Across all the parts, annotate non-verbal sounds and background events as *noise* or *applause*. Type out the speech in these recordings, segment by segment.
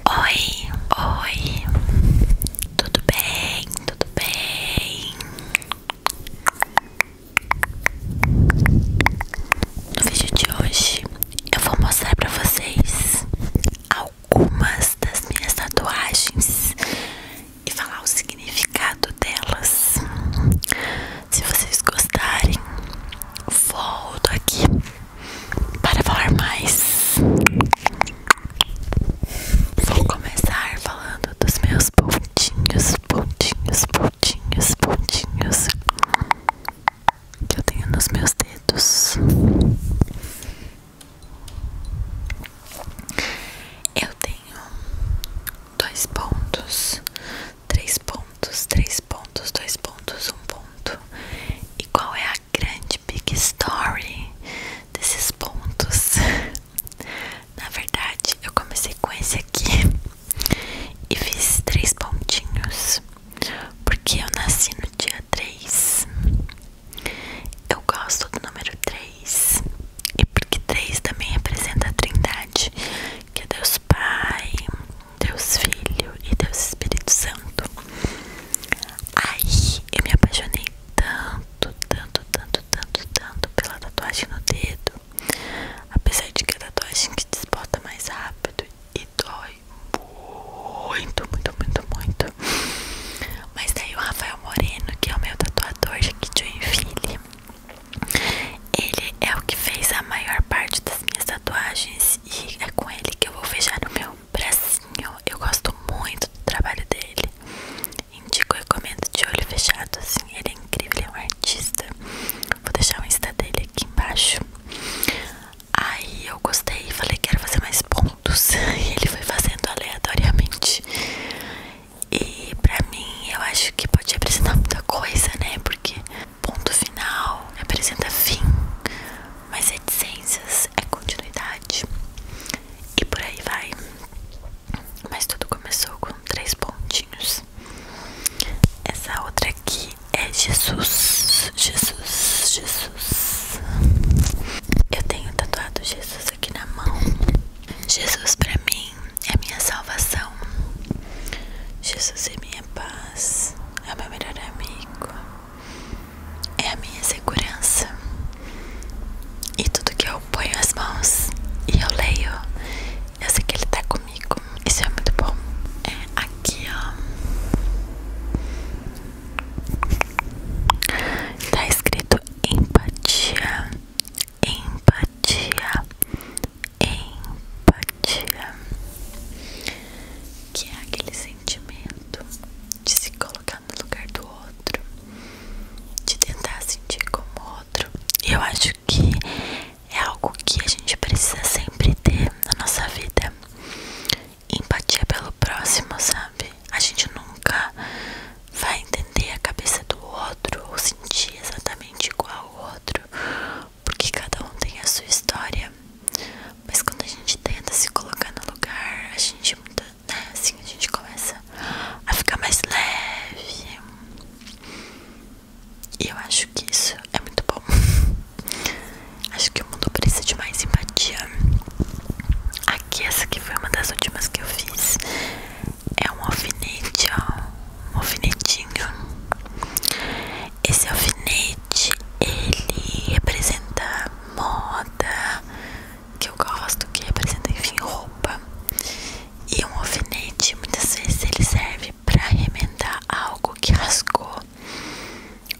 Oi, oi, tudo bem, tudo bem? No vídeo de hoje eu vou mostrar pra vocês algumas das minhas tatuagens e falar o significado delas. Se vocês gostarem, volto aqui para falar mais. Vou começar falando dos meus pontinhos, pontinhos, pontinhos, pontinhos que eu tenho nos meus dedos. Eu tenho dois pontos, três pontos, três pontos, dois pontos, um ponto e qual é a grande big story desses pontos. *laughs* Na verdade, eu comecei com esse aqui e fiz três pontinhos porque eu nasci no dia 3. Eu gosto do número 3 e porque 3 também representa a Trindade, que é Deus Pai, Deus Filho e Deus Espírito Santo. Ai, eu me apaixonei tanto, tanto, tanto, tanto, tanto pela tatuagem no dedo. Apesar de que a tatuagem que desbota mais rápido e dói muito, muito, muito, muito. Mas daí tá o Rafael Moreno, que é o meu tatuador aqui de Joinville, ele é o que fez a maior parte das minhas tatuagens e é com ele que eu vou fechar o meu bracinho. Eu gosto muito do trabalho dele. Indico, e recomendo de olho fechado. Assim, ele é incrível, ele é um artista. Vou deixar o Insta dele aqui embaixo. Aí eu gostei e falei: quero fazer mais pontos. *laughs* E ele foi fazendo aleatoriamente. E pra mim, eu acho que pode apresentar muita coisa, né? Porque ponto final representa fim mas reticências é, é continuidade e por aí vai. Mas tudo começou com três pontinhos. Essa outra aqui é Jesus, Jesus, Jesus. Eu tenho tatuado Jesus aqui na mão. Jesus para mim é minha salvação. Jesus é minha paz, é meu melhor amigo é a minha segurança. E tudo que eu ponho as mãos e eu leio, eu sei que ele tá comigo. Isso é muito bom. É aqui, ó. Tá escrito empatia, empatia, empatia. Que é aquele sentimento de se colocar no lugar do outro, de tentar sentir como outro. E eu acho que é algo que a gente precisa sempre ter na nossa vida. Empatia pelo próximo, sabe? A gente nunca vai entender a cabeça do outro ou sentir exatamente igual ao outro, porque cada um tem a sua história. Mas quando a gente tenta se colocar no lugar, a gente muda, né? Assim a gente começa a ficar mais leve. E eu acho que isso é muito bom. *laughs* acho que o mundo precisa de mais empatia. Aqui, essa que foi uma das últimas que eu fiz. É um alfinete, ó. Um alfinetinho. Esse alfinete, ele representa moda que eu gosto, que representa, enfim, roupa. E um alfinete, muitas vezes ele serve para remendar algo que rasgou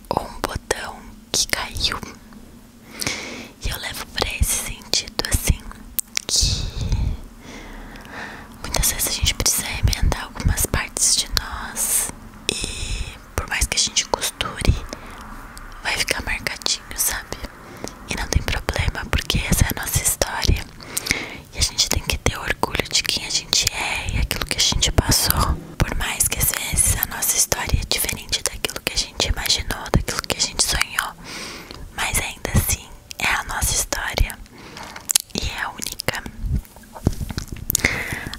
ou um botão que caiu. E eu levo para esse sentido assim que muitas vezes a gente precisa remendar algumas partes de nós e por mais que a gente costure, vai ficar marcadinho, sabe? E não tem problema, porque essa é a nossa história. E a gente tem que ter orgulho de quem a gente é e aquilo que a gente passou. Por mais que às vezes a nossa história é diferente daquilo que a gente imaginou, daquilo que a gente sonhou, mas ainda assim é a nossa história e é única.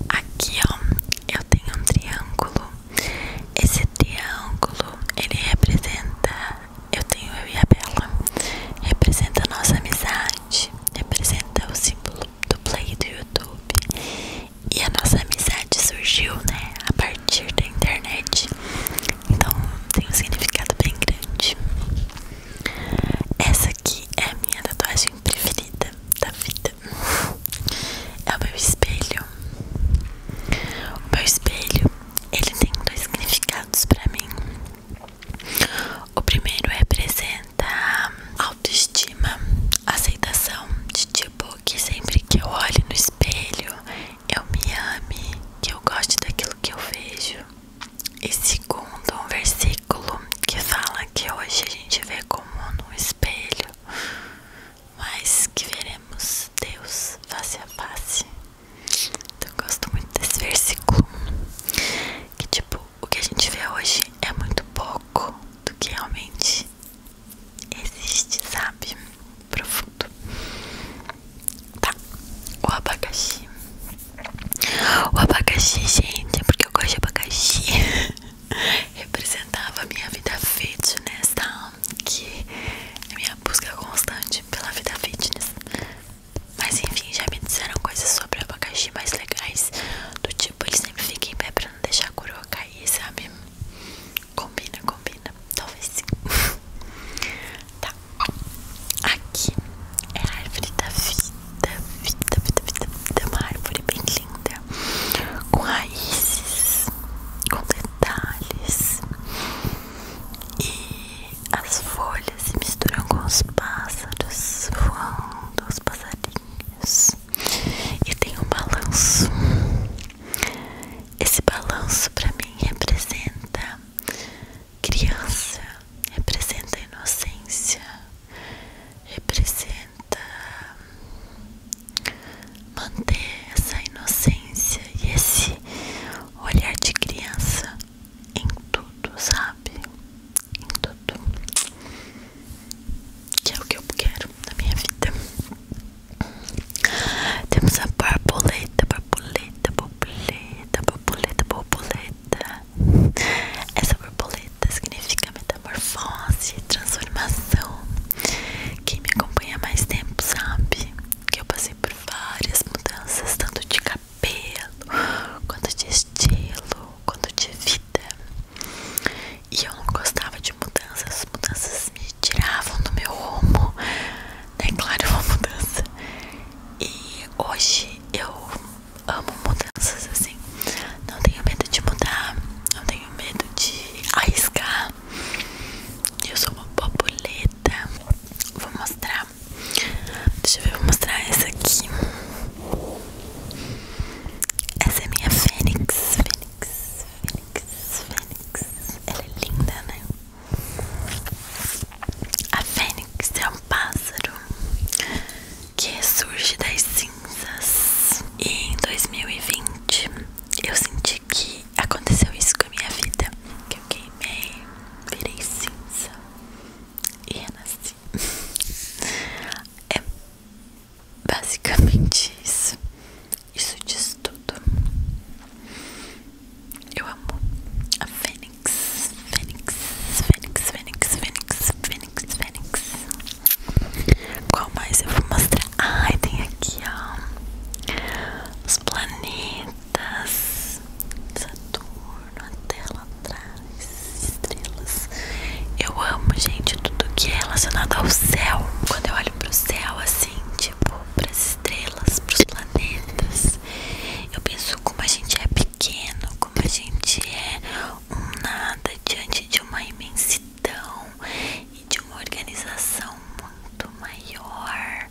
Aqui ó, eu tenho um triângulo esse triângulo, ele representa, eu tenho eu e a Bela, representa a nossa amizade, representa o símbolo do play do YouTube. E a nossa amizade surgiu, né, a partir da internet. Então, tem um significado bem grande. Essa aqui é a minha tatuagem preferida da vida é o meu espelho. O meu espelho, ele tem dois significados para mim. O primeiro representa autoestima, aceitação de tipo que sempre que eu olho no espelho, eu me ame, que eu goste daquilo que eu vejo. E segundo, um versículo que fala que hoje a gente vê como no espelho mas que veremos Deus face a face. Então eu gosto muito desse versículo. Que tipo, o que a gente vê hoje é muito pouco do que realmente existe, sabe? Profundo. Tá, o abacaxi. O abacaxi, gente, é porque eu gosto de abacaxi. *laughs* representava a minha vida fitness, tá? Que é minha busca constante pela vida fitness. Mas enfim, já me disseram coisas sobre abacaxi mais legais. Do tipo, eles sempre fiquem em pé pra não deixar a coroa cair, sabe? Combina, combina. Talvez sim. *laughs* tá. Aqui é a árvore da vida. Vida, vida, vida, vida. Uma árvore bem linda com raízes, com detalhes, e as folhas se misturam com os pássaros voando, os passarinhos, e tem um balanço. Esse balanço para mim representa criança, representa inocência, representa manter essa inocência e esse olhar de criança em tudo, sabe? Em tudo. Que é o que eu quero na minha vida. Temos a borboleta, borboleta, borboleta, borboleta, borboleta. Essa borboleta significa metade metamorfose, transformação. Quem me acompanha há mais tempo sabe que eu passei por várias mudanças, tanto de cabelo, quanto de estilo, quanto de vida. E eu não gostava de mudanças, as mudanças me tiravam do meu rumo, né? Claro, é uma mudança. E hoje eu amo mudanças assim. Não tenho medo de mudar, não tenho medo de arriscar, eu sou uma borboleta. Vou mostrar. Deixa eu ver, vou mostrar essa aqui. Essa é minha fênix. Fênix, fênix, fênix. Ela é linda, né? A fênix é um pássaro que surge das cinzas. E em 2020 eu senti que aconteceu isso com a minha vida. Que eu queimei, virei cinza e renasci. É basicamente isso. Isso diz tudo. Eu amo a Fênix, Fênix, Fênix, Fênix, Fênix, Fênix, Fênix. Qual mais eu vou mostrar? Ai, tem aqui, ó. Os planetas. Saturno, até lá atrás. Estrelas. Eu amo, gente, tudo que é relacionado ao céu. Quando eu olho pro céu, assim, tipo, pras estrelas, pros planetas, eu penso como a gente é pequeno, como a gente é um nada diante de uma imensidão de uma organização muito maior,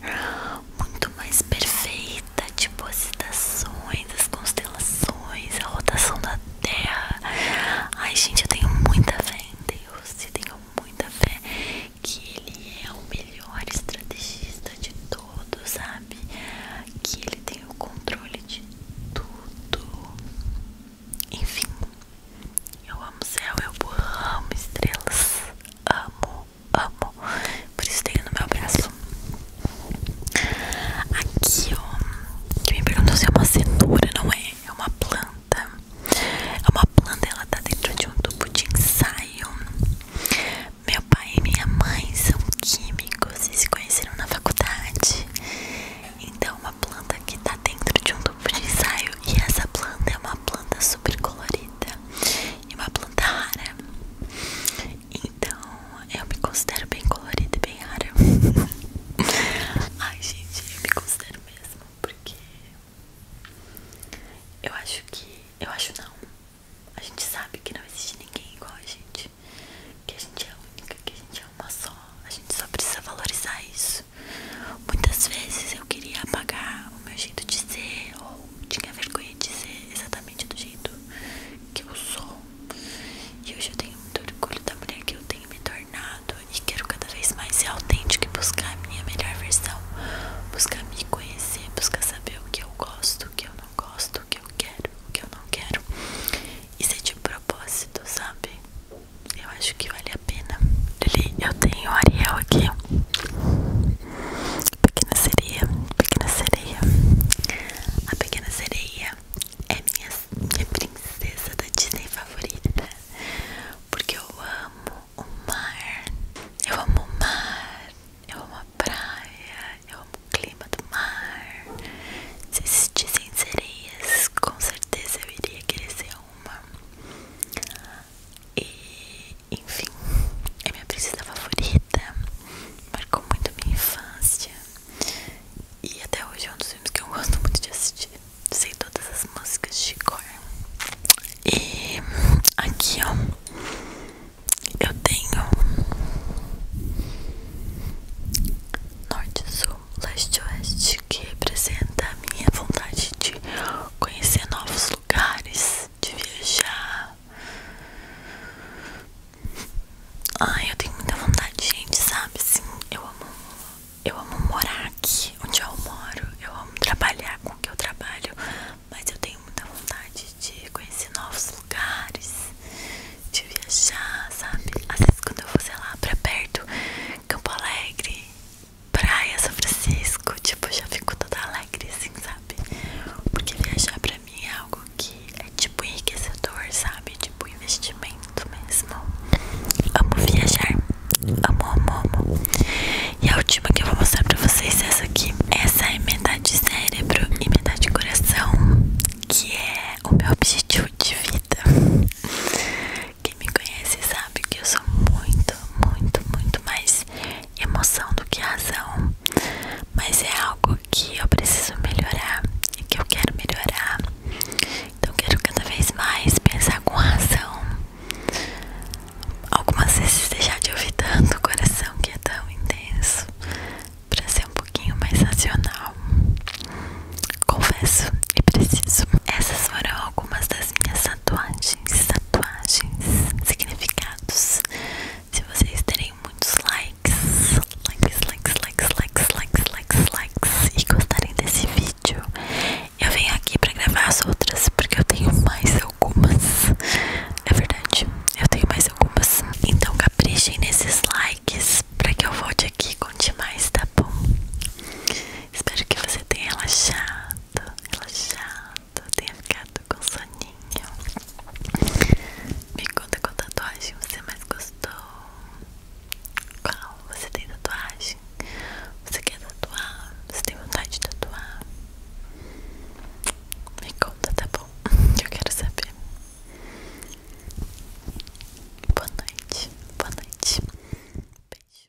muito mais perfeita, tipo as citações, as constelações, a rotação da Terra. Ai, gente, eu tenho muita fé em Deus e tenho muita fé que Ele é o melhor estrategista de todos, sabe? Que Ele tem o controle de tudo. Enfim, eu amo céu, eu amo estrelas. Amo, amo. Por isso tenho no meu braço. Aqui, ó. Que me perguntou se é uma cenoura, não é? É uma planta. É uma planta, ela tá dentro de um tubo de ensaio. Meu pai e minha mãe são químicos e se conheceram na faculdade. Então, uma planta que tá dentro de um tubo campo de e essa planta é uma planta super colorida e uma planta rara. Então eu me considero bem colorida e bem rara. *laughs* Ai gente, eu me considero mesmo porque eu acho que. Eu acho não. A gente sabe que não existe ninguém igual a gente. Que a gente é única, que a gente é uma só. A gente só precisa valorizar isso. Muitas vezes eu queria apagar o meu jeito de ser, ou tinha vergonha de ser exatamente do jeito que eu sou. E hoje eu tenho muito orgulho da mulher que eu tenho me tornado e quero cada vez mais ser autêntico e buscar a minha melhor versão, buscar me conhecer, buscar saber o que eu gosto, o que eu não gosto, o que eu quero, o que eu não quero. E ser de propósito, sabe? eu acho que vale a pena. eu tenho o Ariel aqui. Pequena sereia, pequena sereia. A pequena sereia é minha, minha princesa da Disney favorita. Porque eu amo o mar. Eu amo o mar. Eu amo a praia. Eu amo o clima do mar. Se existissem sereias, com certeza eu iria querer ser uma. E enfim, é minha princesa favorita, marcou muito a minha infância. E até hoje é um dos filmes que eu gosto muito de assistir. Sei todas as músicas de cor. E aqui ó, eu tenho norte, sul, leste, oeste que representa a minha vontade de conhecer novos lugares, de viajar. Ai, eu tenho muita vontade, gente, sabe? Sim, eu amo, eu amo morar aqui onde eu moro, eu amo trabalhar com o que eu trabalho, mas eu tenho muita vontade de conhecer novos lugares, de viajar, sabe? Às vezes quando eu vou, sei lá, pra perto, Campo Alegre, praia, São Francisco, tipo, já fico toda alegre, assim, sabe? Porque viajar pra mim é algo que é tipo enriquecedor, sabe? Tipo, investimento mesmo. Amo viajar. Amo, amo, amo. E a última que eu vou mostrar pra vocês é essa aqui. Essa é metade cérebro e metade coração, que é o meu objetivo de vida. Quem me conhece sabe que eu sou muito, muito, muito mais emoção do que razão. Mas é algo que eu preciso melhorar e que eu quero melhorar. Então quero cada vez mais pensar com razão. Algumas vezes deixar de ouvir tanto o coração que é tão intenso para ser um pouquinho mais racional. Confesso e preciso. Essas foram algumas das minhas tatuagens, tatuagens, significados. Se vocês terem muitos likes, likes, likes, likes, likes, likes, likes, likes e gostarem desse vídeo, eu venho aqui pra gravar as outras porque eu tenho mais algumas. É verdade, eu tenho mais algumas. Então caprichem nesses likes pra que eu volte aqui com conte mais, tá bom? Espero que você tenha relaxado relaxado, tenha ficado com soninho. Me conta qual tatuagem você mais gostou. Qual? Você tem tatuagem? Você quer tatuar? Você tem vontade de tatuar? Me conta, tá bom? *laughs* Eu quero saber. Boa noite, boa noite. Beijo.